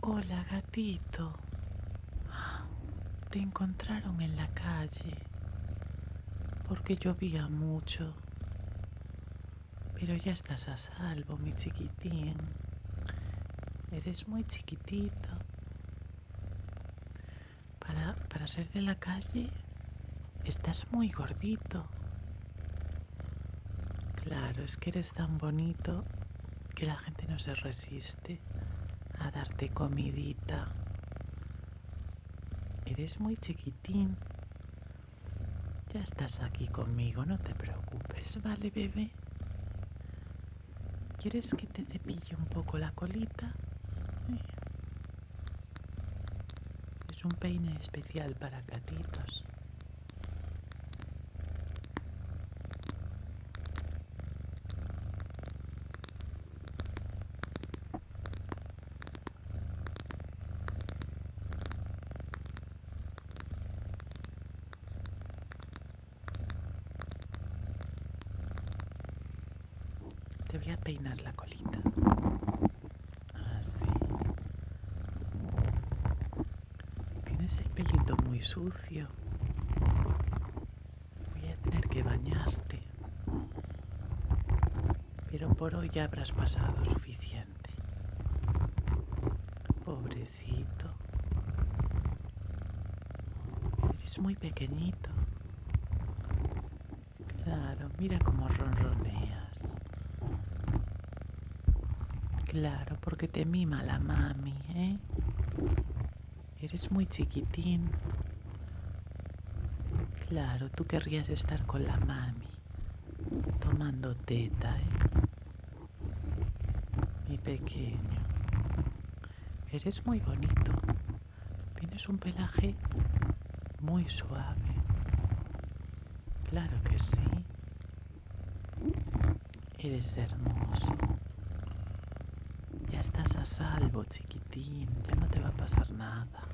Hola gatito. Te encontraron en la calle porque llovía mucho. Pero ya estás a salvo, mi chiquitín. Eres muy chiquitito. Para, para ser de la calle, estás muy gordito. Claro, es que eres tan bonito que la gente no se resiste a darte comidita. Eres muy chiquitín. Ya estás aquí conmigo, no te preocupes, ¿vale, bebé? ¿Quieres que te cepille un poco la colita? Eh. Es un peine especial para gatitos. Te voy a peinar la colita. Así. Tienes el pelito muy sucio. Voy a tener que bañarte. Pero por hoy ya habrás pasado suficiente. Pobrecito. Eres muy pequeñito. Claro, mira cómo ronroneas. Claro, porque te mima la mami, ¿eh? Eres muy chiquitín. Claro, tú querrías estar con la mami, tomando teta, ¿eh? Mi pequeño. Eres muy bonito. Tienes un pelaje muy suave. Claro que sí. Eres hermoso. Ya estás a salvo, chiquitín. Ya no te va a pasar nada.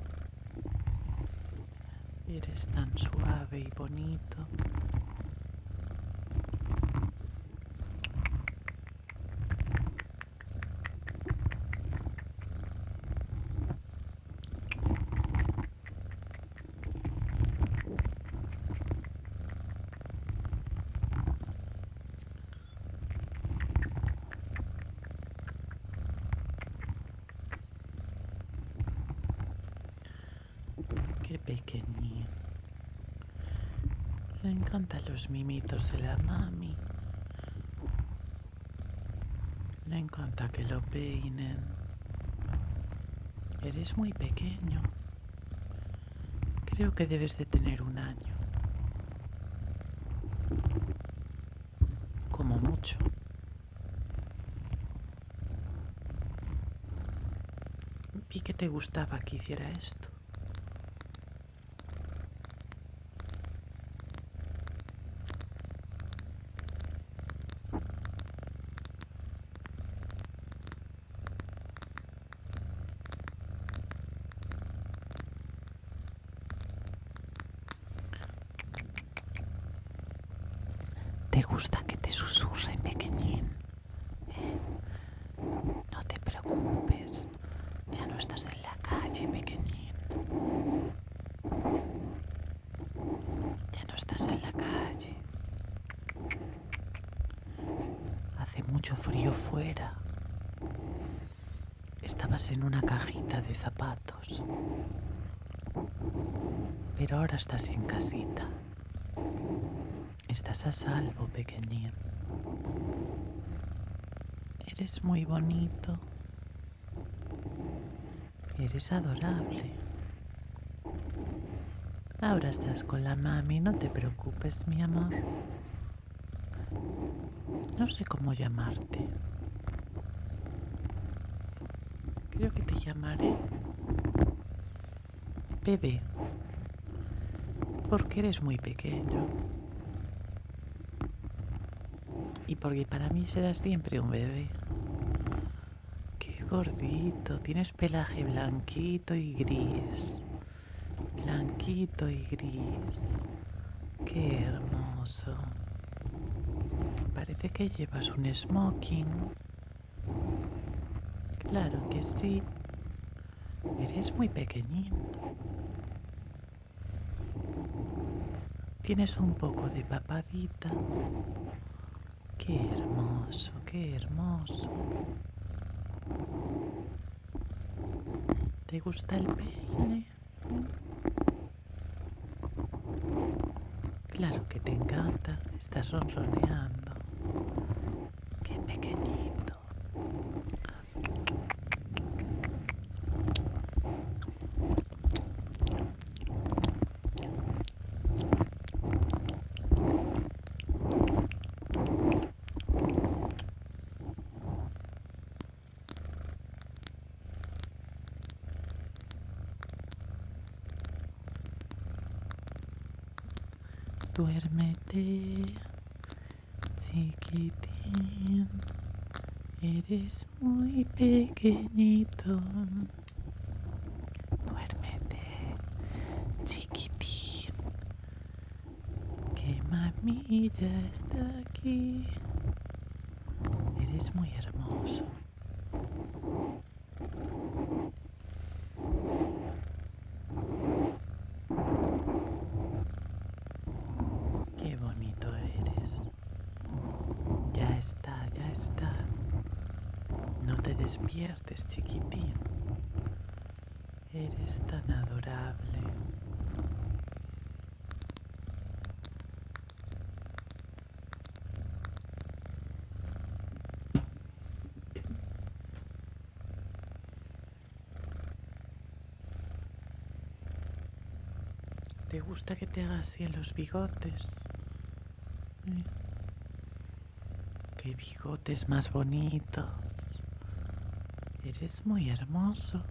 Eres tan suave y bonito. Qué pequeña. Le encantan los mimitos de la mami. No encanta que lo peinen. Eres muy pequeño. Creo que debes de tener un año. Como mucho. Vi que te gustaba que hiciera esto. ¿Te gusta que te susurre, pequeñín? No te preocupes, ya no estás en la calle, pequeñín. Ya no estás en la calle. Hace mucho frío fuera. Estabas en una cajita de zapatos. Pero ahora estás en casita. Estás a salvo, pequeñín. Eres muy bonito. Eres adorable. Ahora estás con la mami, no te preocupes, mi amor. No sé cómo llamarte. Creo que te llamaré bebé, porque eres muy pequeño. Y porque para mí serás siempre un bebé. Qué gordito, tienes pelaje blanquito y gris. Blanquito y gris. Qué hermoso. Parece que llevas un smoking. Claro que sí. Eres muy pequeñín. Tienes un poco de papadita Qué hermoso, qué hermoso. ¿Te gusta el peine? Claro que te encanta, estás ronroneando. Qué pequeñito. Duérmete, chiquitín, eres muy pequeñito. Duérmete, chiquitín, qué mami ya está aquí. Eres muy hermoso. Qué bonito eres. Ya está, ya está. No te despiertes, chiquitín. Eres tan adorable. ¿Te gusta que te haga así los bigotes? Qué bigotes más bonitos. Eres muy hermoso.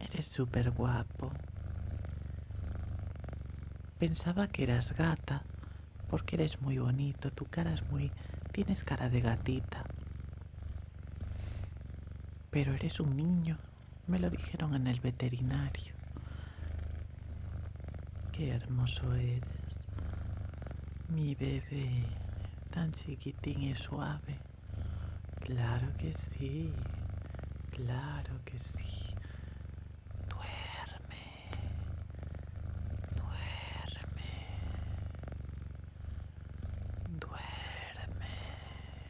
Eres súper guapo. Pensaba que eras gata, porque eres muy bonito, tu cara es muy... tienes cara de gatita. Pero eres un niño. Me lo dijeron en el veterinario. Qué hermoso eres. Mi bebé, tan chiquitín y suave. Claro que sí. Claro que sí. Duerme. Duerme. Duerme.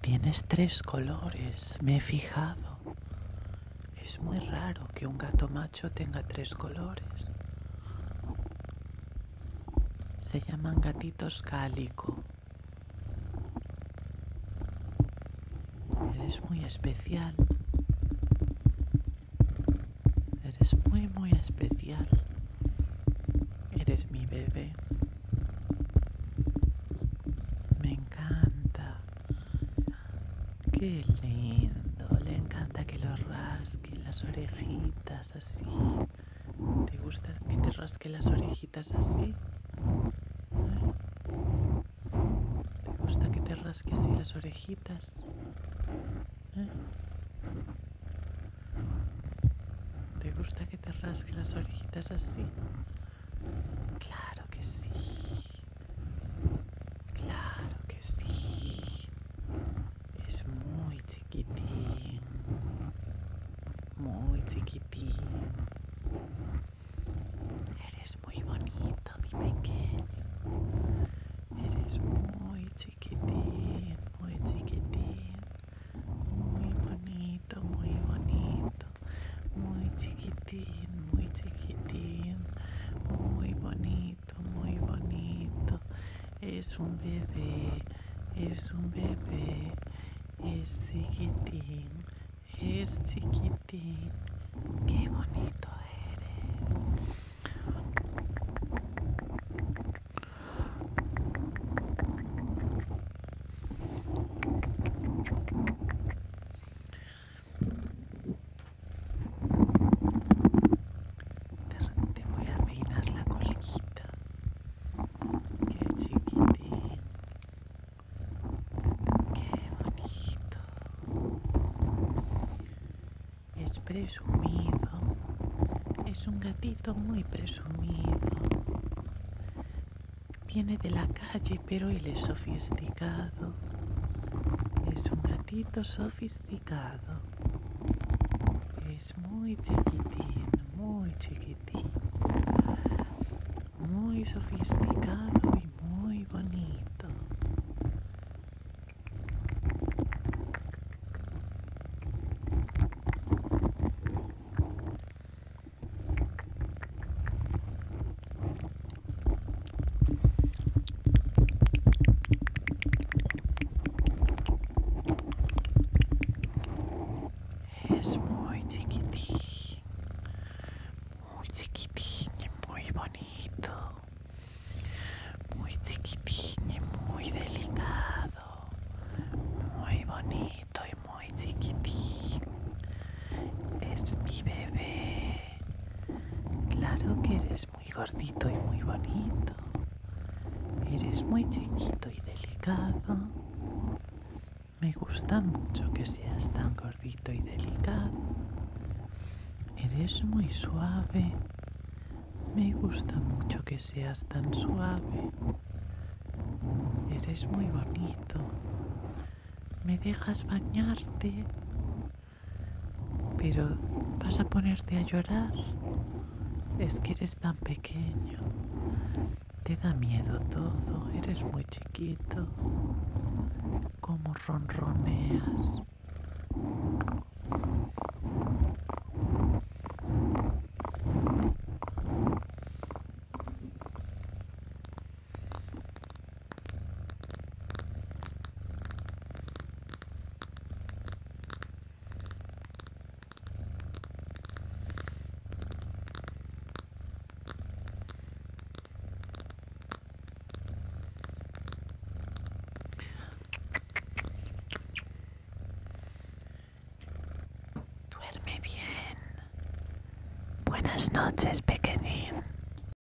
Tienes tres colores, me he fijado. Es muy raro que un gato macho tenga tres colores. Se llaman gatitos cálico. Eres muy especial. Eres muy, muy especial. Eres mi bebé. Me encanta. Qué lindo, le encanta que lo rasquen las orejitas así. ¿Te gusta que te rasque las orejitas así? ¿Te gusta que te rasque así las orejitas? ¿Te gusta que te rasque las orejitas así? Claro que sí. Claro que sí. Es muy chiquitín. Muy chiquitín. Eres muy bonito, mi pequeño. Eres muy chiquitín, muy chiquitín. Muy bonito, muy bonito. Muy chiquitín, muy chiquitín. Muy bonito muy bonito. Es un bebé, es un bebé, es chiquitín, es chiquitín. Qué bonito eres. Te, repente voy a peinar la colita, Qué chiquitín. Qué bonito. Es presumido. Es un gatito muy presumido. Viene de la calle, pero él es sofisticado. Es un gatito sofisticado. Es muy chiquitín, muy chiquitín. Muy sofisticado y muy bonito. Es muy chiquitín, muy chiquitín y muy bonito, muy chiquitín y muy delicado, muy bonito y muy chiquitín. Es mi bebé. Claro que eres muy gordito y muy bonito. Eres muy chiquito y delicado. Me gusta mucho que seas tan gordito y delicado. Eres muy suave. Me gusta mucho que seas tan suave. Eres muy bonito. Me dejas bañarte. Pero vas a ponerte a llorar. Es que eres tan pequeño. Te da miedo todo. Eres muy chiquito. Como ronroneas. Duerme bien. Buenas noches, pequeñín.